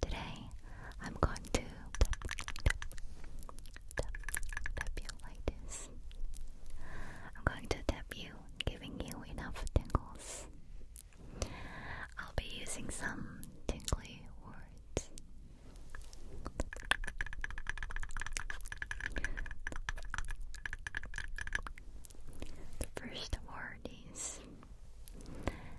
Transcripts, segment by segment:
Today, I'm going to tap, you like this. I'm going to tap you, giving you enough tingles. I'll be using some tingly words. The first word is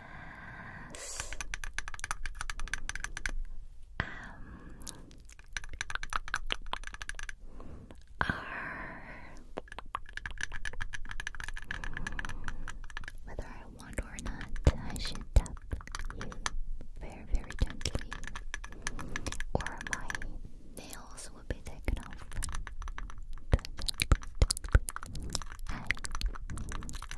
R. Whether I want or not, I should tap you very, very gently, or my nails will be taken off. I'm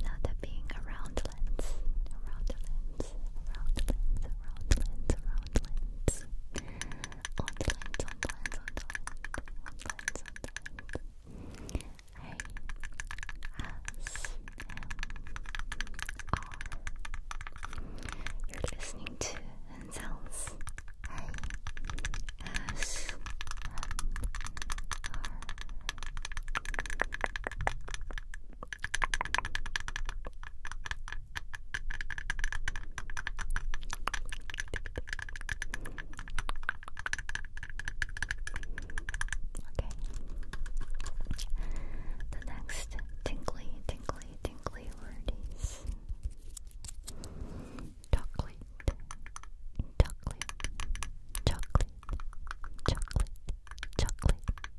now tapping around lens, around lens, around lens, around lens, around lens. Online, You're listening to sounds. I S M R. The next tingly, tingly, tingly word is chocolate, chocolate, chocolate, chocolate, chocolate,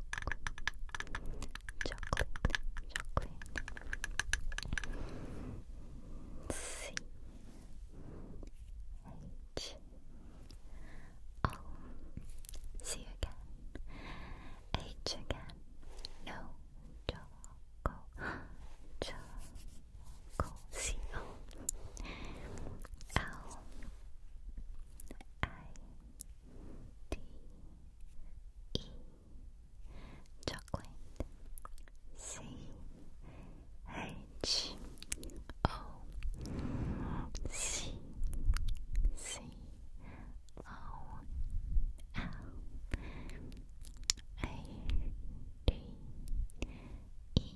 chocolate, chocolate. C H O. See you again. H again. No. Choco. Choco. C O. L. I D E chocolate C H O C C O L A D E E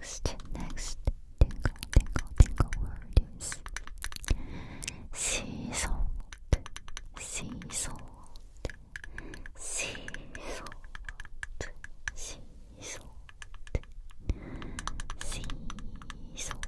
next, next tingle, tingle, tingle word is sea salt, sea salt, sea salt, sea salt,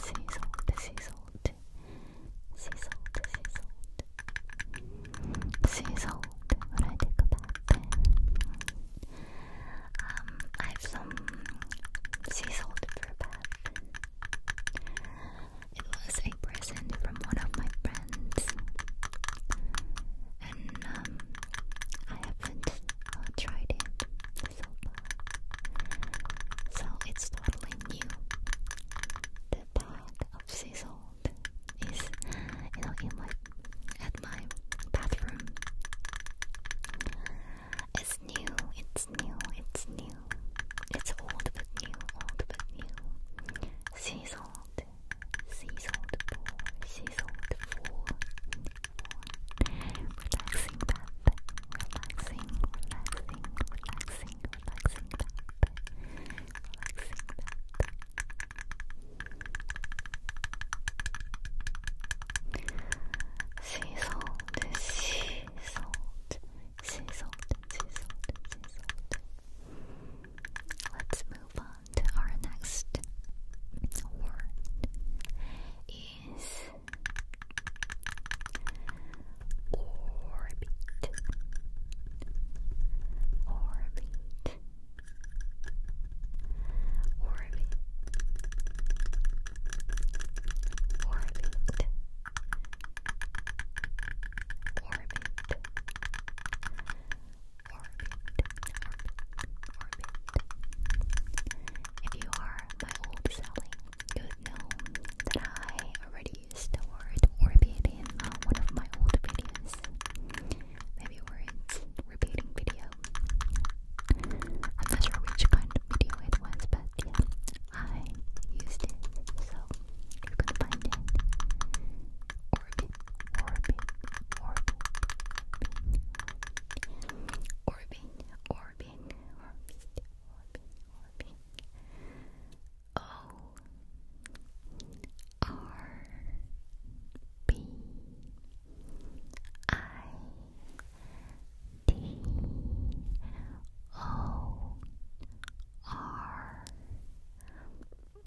Sizzled, sizzled, sizzled, sizzled, sizzled. What I think about that? Um, I have some sizzled for bath. It was a present from one of my friends and um, I haven't uh, tried it so far. So it's totally new. The part of Sizzled is, you know, in my at my bathroom. It's new. It's new. It's new. It's old but new. Old but new. Sizzled. Seasoned for, seasoned for, Relaxing bath. Relaxing, relaxing, relaxing, relaxing bath. Relaxing bath. Sea salt, sea salt, Let's move on. And our next word is orbit. Orbit. Orbit. Orbit. Orbit. If you are my old selling, you know that I already used orbit in uh, one of my old videos. Maybe words repeating video. I'm not sure which kind of video it was, but yeah, I used it, so you can find it. orbit, orbit, orbit, Orbing, orbing, orbing, orbing, orbing. O R B I D O R B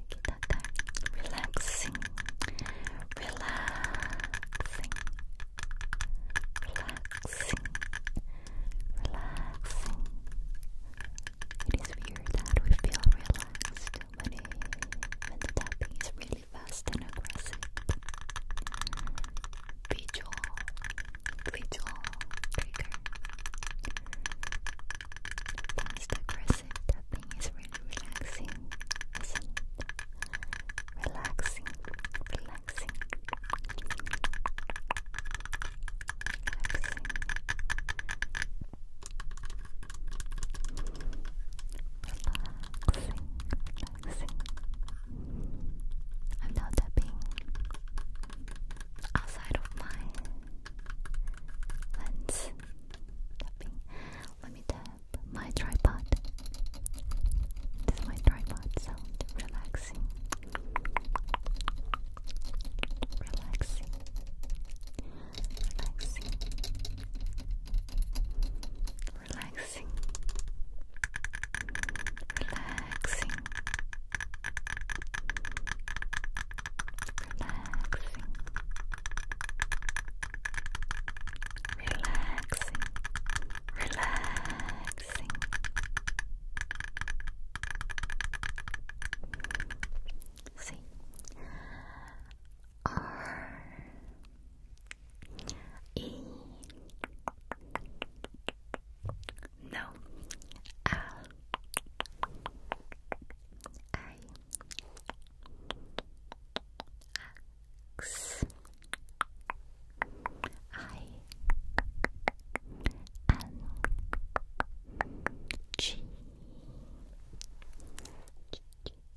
relaxing, relaxing, relaxing, relaxing. It is weird that we feel relaxed when, the tapping is really fast and aggressive. Visual, visual trigger. Fast aggressive music tapping is relaxing, isn't it? Relaxing, relaxing, relaxing, relaxing, relaxing. I'm now tapping outside of my lens. Tapping. Let me tap my tripod. This is my tripod sound. Relaxing. Relaxing. Relaxing. Relaxing. Relaxing relaxing, relaxing, relaxing. See, R E. X I N G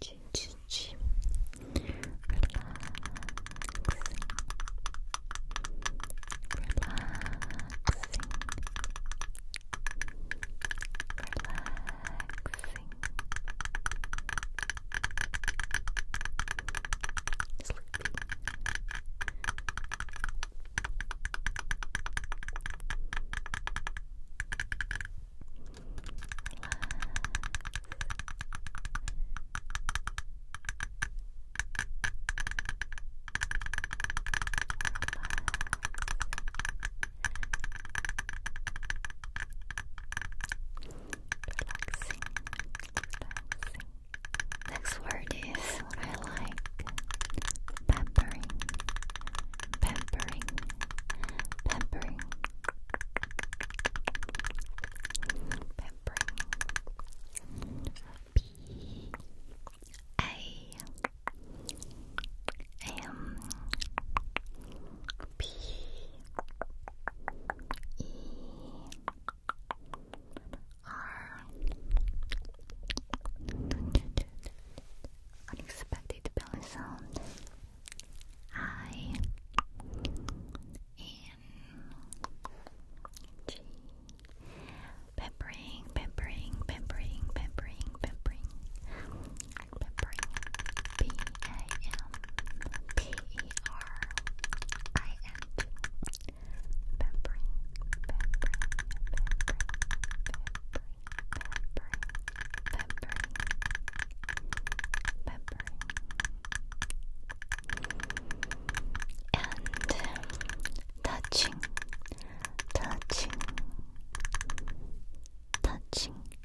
G G G Relaxing. Relaxing relaxing. Sleepy. Relax. Relax relaxing, relaxing. Next word is I like. Pampering, pampering, pampering, pampering. P A M P E R Unexpected belly sound I N G Peppering, peppering, peppering, peppering, peppering B A M P E R I N. Peppering, peppering, peppering, peppering, peppering, peppering, peppering, and touching, touching, touching.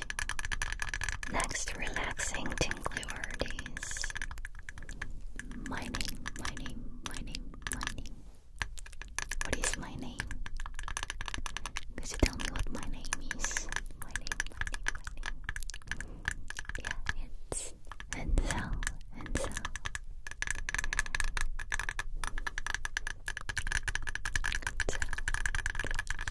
Next, relaxing tingling is my name, my name, my name, my name. What is my name? Could you tell me what my name is? My name, my name, my name. Yeah, it's Enzel, Enzel. So,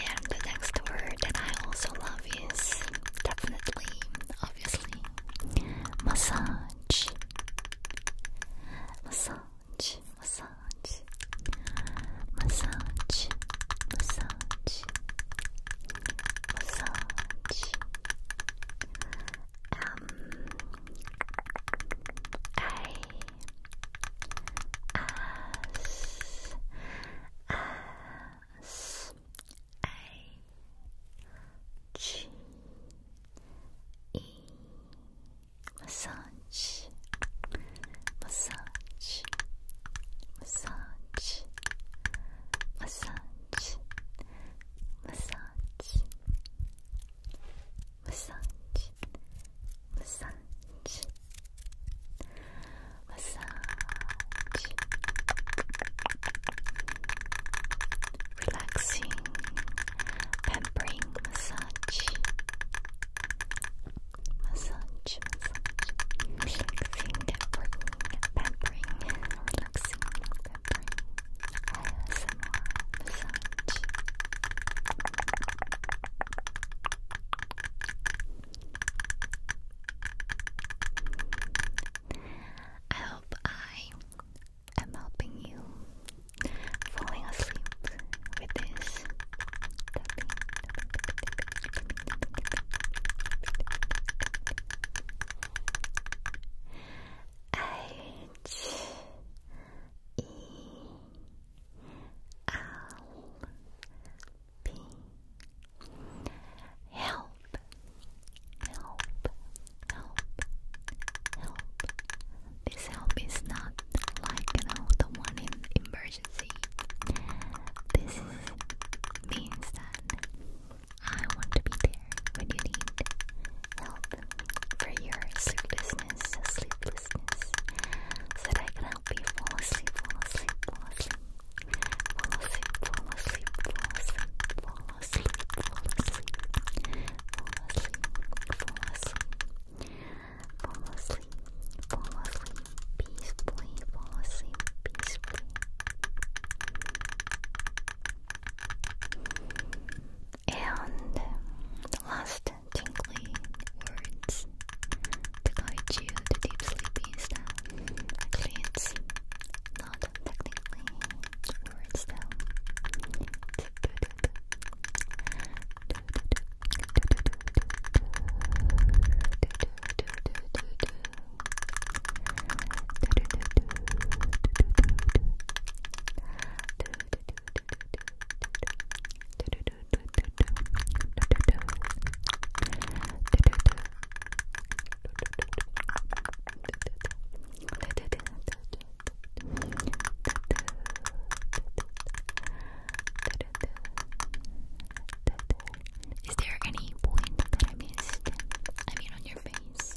And the next word that I also love is definitely, obviously, massage. Massage, massage, massage, massage, massage. Um, I as as a G E massage, massage, massage, massage, massage, massage, massage, massage, relaxing, pampering massage, massage, massage, relaxing, pampering, pampering, relaxing, pampering. ASMR massage I hope I am helping you falling asleep with this H E I'll be help, help, help, help. This help is not like the one in emergency. This means that I want to be there when you need help for your sleeplessness, sleeplessness, so that I can help you fall asleep, fall asleep, fall asleep, fall asleep, fall asleep, fall asleep, fall asleep, fall asleep, fall asleep, fall asleep, fall asleep, peacefully, fall asleep, peacefully. And the last tingly words to guide you to deep sleep is that not technically words is there any point that I missed? I mean, on your face.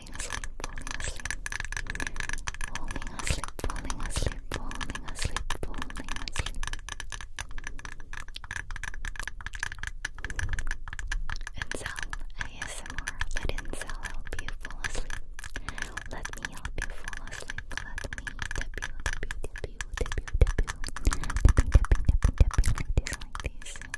falling asleep, falling asleep, falling asleep, falling asleep, falling asleep, falling asleep. Inzel ASMR, let Inzel help you fall asleep. Let me help you fall asleep. Let me tap you, tap you, tap you, tap you, tap you, tapping, tapping, tapping, tapping like this, like this.